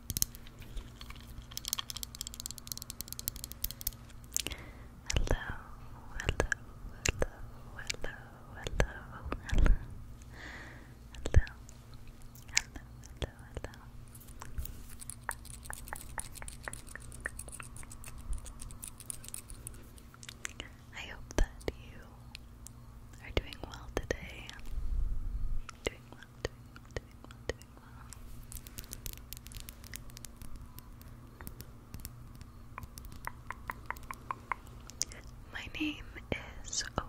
Hello, hello, hello, hello, hello, hello, hello, hello, hello, hello. I hope that you are doing well today. My name is opal.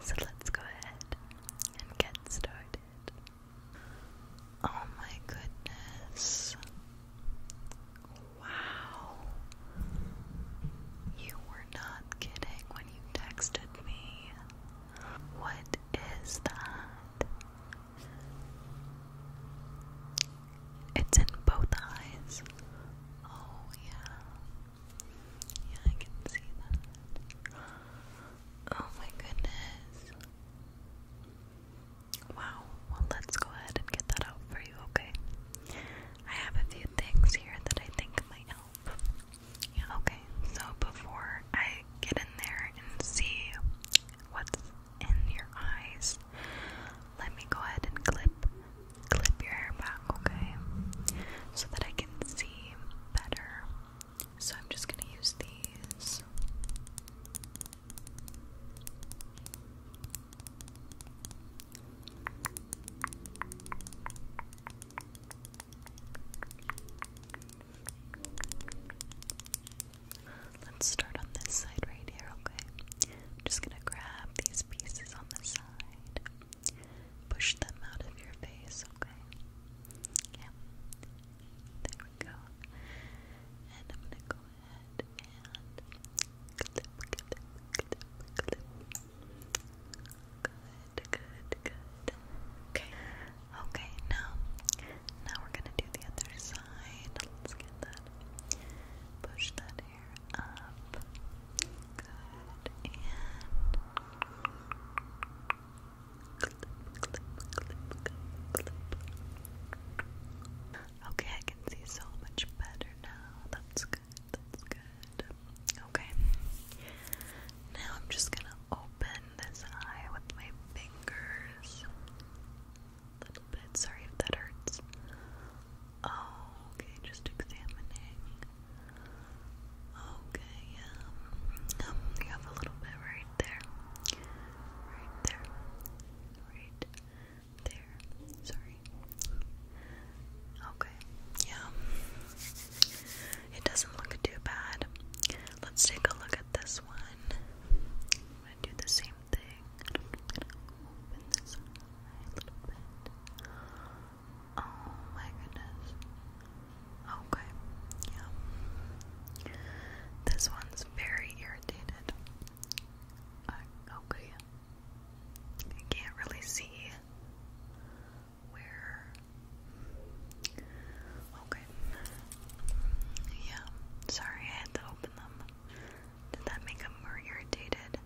so let's go ahead and get started. Oh my goodness. Wow. You were not kidding when you texted me. What is that? It's in both eyes. Oh, yeah. Yeah, I can see that. Oh my goodness. Wow. Well, let's go ahead and get that out for you, okay? I have a few things here that I think might help. Yeah, okay. So before I get in there and see what's in your eyes, let me go ahead and clip clip your hair back, okay? So that I can see better. So I'm just gonna use these. Let's start on this side right here, okay? I'm just gonna grab these pieces on the side push them out of your face, okay? There we go. And I'm gonna go ahead and clip, clip, clip, clip. Good, good, good. Okay. Okay, now now we're gonna do the other side. Let's get that. Push that hair up. Okay, I can see so much better now. That's good. That's good. Okay. Now I'm just gonna open this eye with my fingers. little bit. Sorry if that hurts okay, just examining. Okay, yeah. Um, um have a little bit right there. Right there. Right there. Sorry. Okay, yeah. It doesn't look too bad. Let's take a look at this one. i do the same thing. open this a little bit. Oh my goodness. Okay. Yeah. This one's very irritated. Uh, okay. I can't really see where. Okay. Yeah. Sorry, I had to open them. Did that make them more irritated?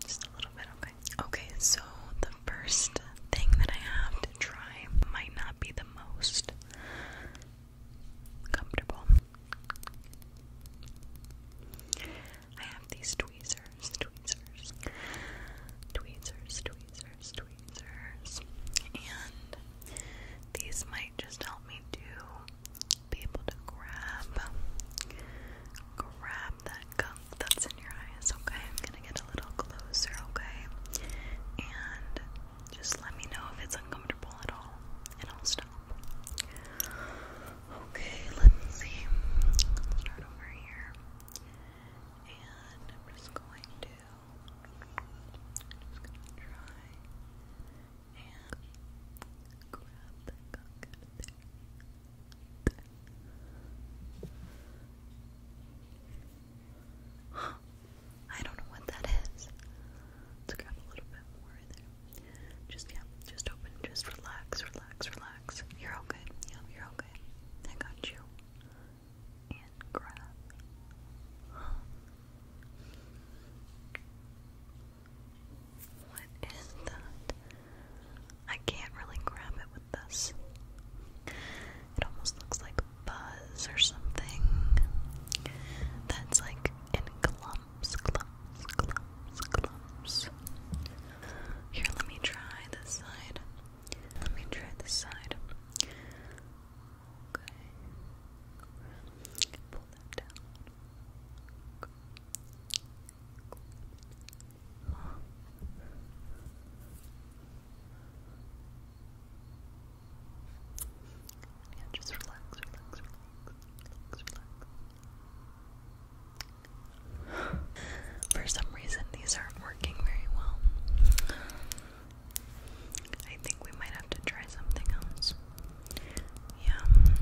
Just a little bit, okay. Okay, so the first thing that I have to try might not be the most comfortable. I have these tweezers, tweezers, tweezers, tweezers, tweezers, and these might just help me to be able to grab, grab that that's in your eyes, okay? I'm gonna get a little closer, okay? And just let me know if it's uncomfortable at all, and I'll stop. Okay, let's see. start over here. And I'm just going to just gonna try and grab the I don't know what that is. Let's grab a little bit more in there. Just yeah, just open, just relax, relax, relax. You're okay. you're okay. I got you. And grab. What is that? I can't really grab it with this. It almost looks like buzz or something. That's like in clumps, clumps, clumps, clumps. Here, let me try this side. Let me try this side. Okay. Pull that down. Okay. Yeah, just relax, relax, relax, relax, For some reason, these aren't working very well. I think we might have to try something else. Yeah.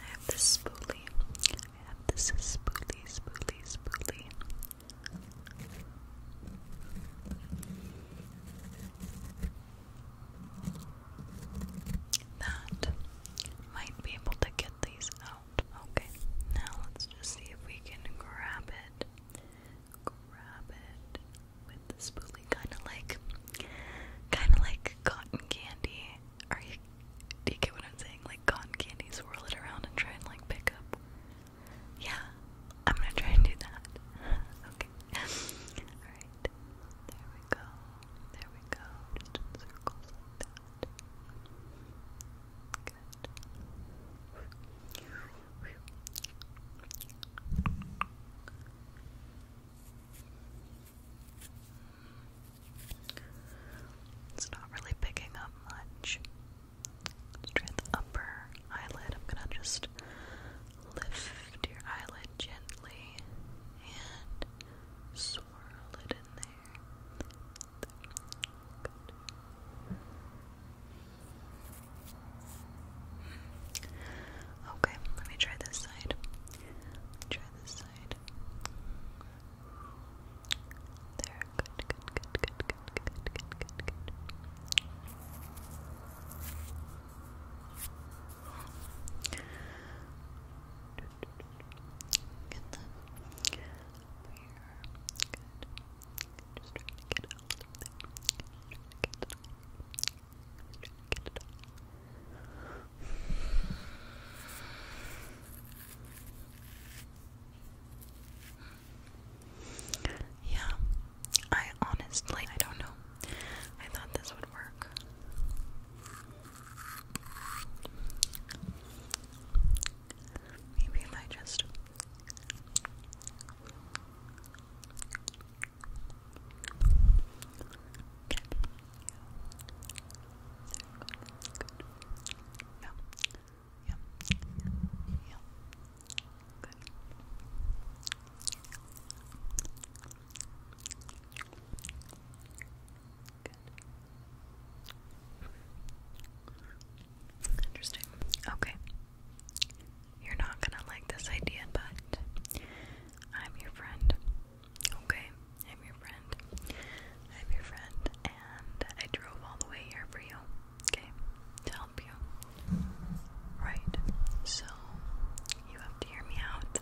I have this spoolie. I have this spoolie, spoolie, spoolie. That might be able to get these out. Okay, now let's just see if we can grab it. Grab it with the spoolie, kind of like, kind of like cotton candy. Are you do you get what I'm saying? Like cotton candy, swirl it around and try and like pick up. Yeah, I'm gonna try and do that. okay. Alright. There we go. There we go. Just in circles like that. Good. It's not really picking up much. let the upper eyelid. I'm gonna just lift your eyelid gently and swirl it in there. Okay, let me try this side. Let me try this side. There, good, good, good, good, good, good, good, good, good, good. Get them up here. Good. Just trying to get out of there. Just trying to get it all. Just trying to get it all. Yeah, I honestly, I don't know. I thought this would work. Maybe if I just. Yeah. Yeah. Yeah. Good. Good. Interesting. Okay. You're not gonna like this idea, but I'm your friend. Okay, I'm your friend. I'm your friend, and I drove all the way here for you, okay, to help you. Right, so you have to hear me out.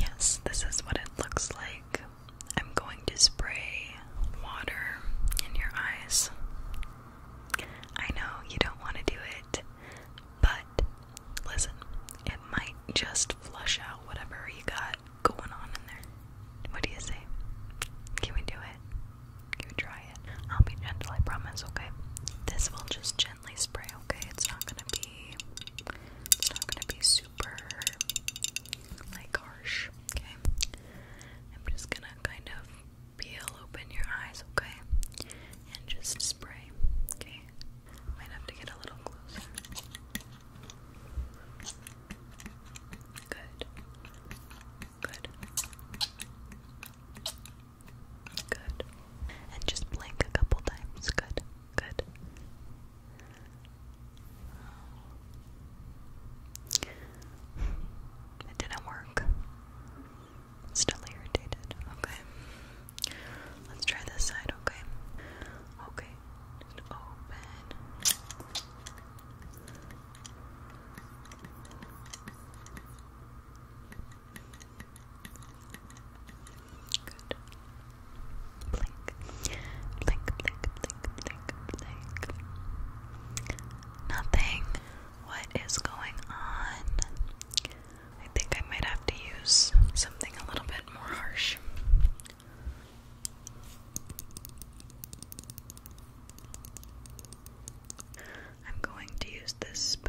Yes, this is what it looks like. I'm going to spray water in your eyes. I know you don't want to do it, but listen, it might just flush out whatever you got going on in there. What do you say? Can we do it? Can we try it? I'll be gentle, I promise, okay? This will just gently gently spray, okay? It's not gonna be it's not gonna be super like harsh, okay? I'm just gonna kind of peel open your eyes, okay? And just spray, okay? Might have to get a little closer. Good. Good. Good. And just blink a couple times. Good. Good. It didn't work. Still irritated. Okay. Let's try this side, okay? Okay. Just open. Blink. Blink, blink, blink, blink, blink. Nothing. What is going on? I think I might have to use something a little bit more harsh. I'm going to use this spoon.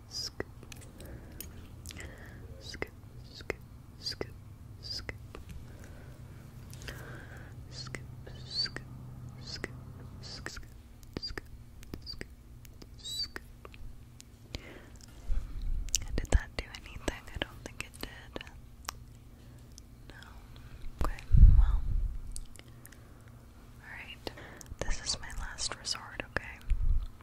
scoop, scoop, scoop, scoop, scoop, scoop, scoop, scoop, scoop, scoop, scoop, scoop, scoop. Did that do anything? I don't think it did. No. Okay, well. Alright. This is my last resort, okay?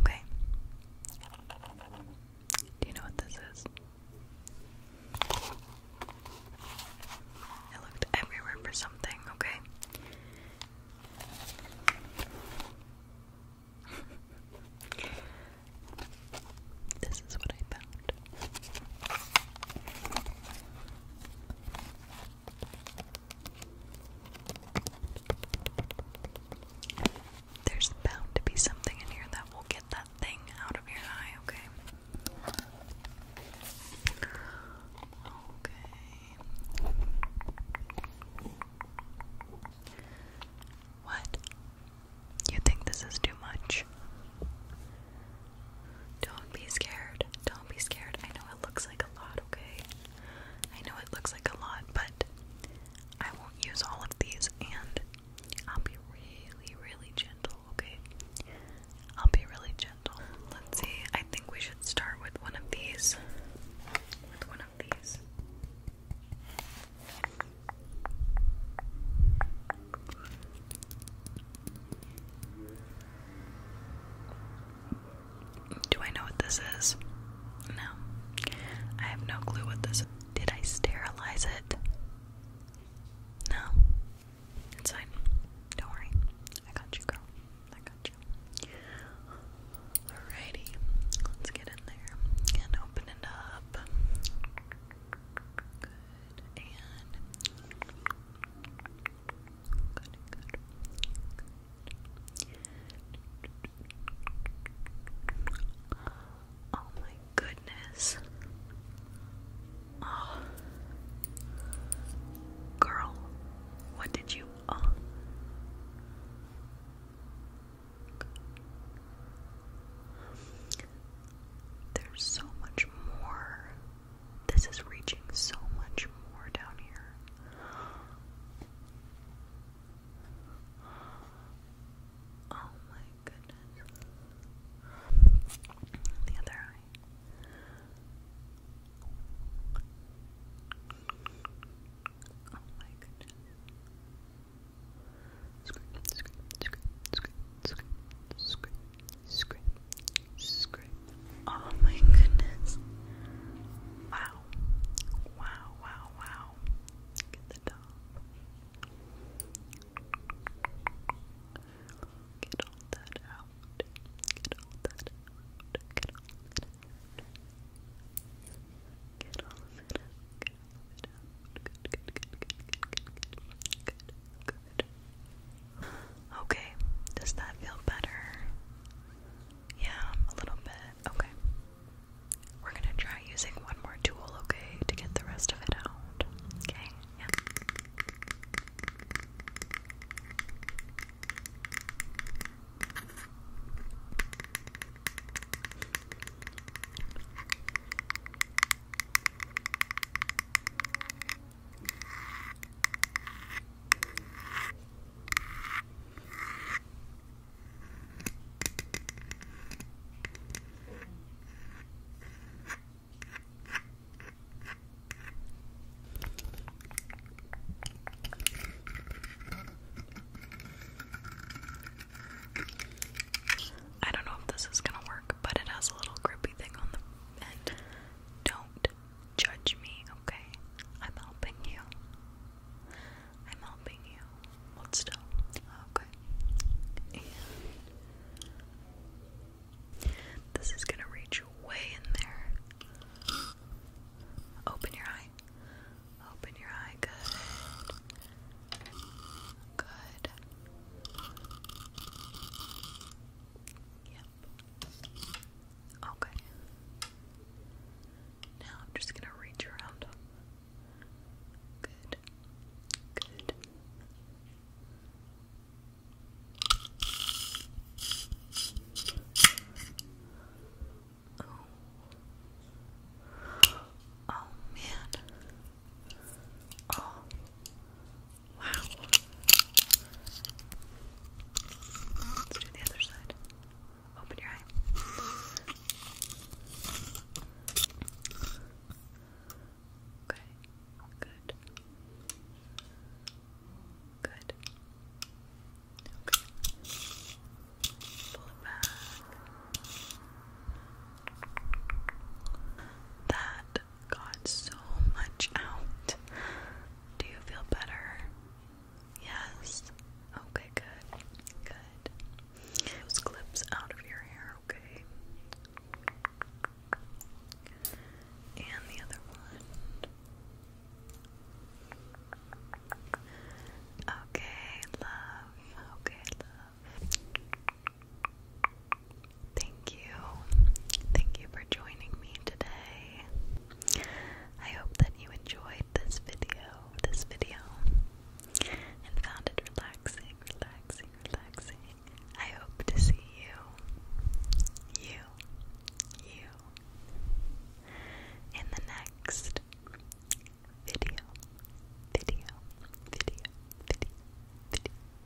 Okay. Do you know what this is? I looked everywhere for something, okay? This is what I found. There's bound to be something in here that will get that thing out of your eye, okay? Okay. What you think this is too much? Don't be scared. Don't be scared. I know it looks like a lot, okay? I know it looks like a lot, but I won't use all of these and I'll be really, really gentle, okay? I'll be really gentle. Let's see. I think we should start with one of these. With one of these. Do I know what this is? No. I have no clue what this Did I sterilize it? No. It's fine. Don't worry. I got you, girl. I got you. Alrighty. Let's get in there and open it up. Oh my goodness. Oh. Girl, what did you oh. There's so much more. This is reaching so much more down here. Oh my goodness. The other eye. Oh my goodness. Scream, scream, scream, scream, scream, scream, Scrape. Scrape. Oh my goodness. Wow. Wow, wow, wow. Look the top. Get all that out. Get all that out. Get all that out. Get all of out. Get all of out. Good, good, good, good, good, good, good. Good, Okay, does that feel better? Yeah, a little bit. Okay. We're gonna try using one more tool, okay, to get the rest of it out. Okay, yeah. I don't know if this is gonna work, but it has a little grippy thing on the and don't judge me, okay? I'm helping you. I'm helping you. Hold still. Okay. this is gonna reach way in there. Open your eye. Open your eye. Good. Good. Yep. Okay. Now I'm just gonna reach around. Good. Good. Oh. oh man. Oh, wow. Let's do the other side. Open your eye. Okay, good. Good. Okay. Pull it back. That got so much out. Do you feel better? Yes. Okay, good. Good. Get those clips out of your hair, okay? And the other one. Okay, love. Okay, love. Thank you. Thank you for joining me today. I hope that you enjoyed this video, this video, and found it relaxing, relaxing, relaxing. I hope to see you, you, you, in the next video, video, video, video, video.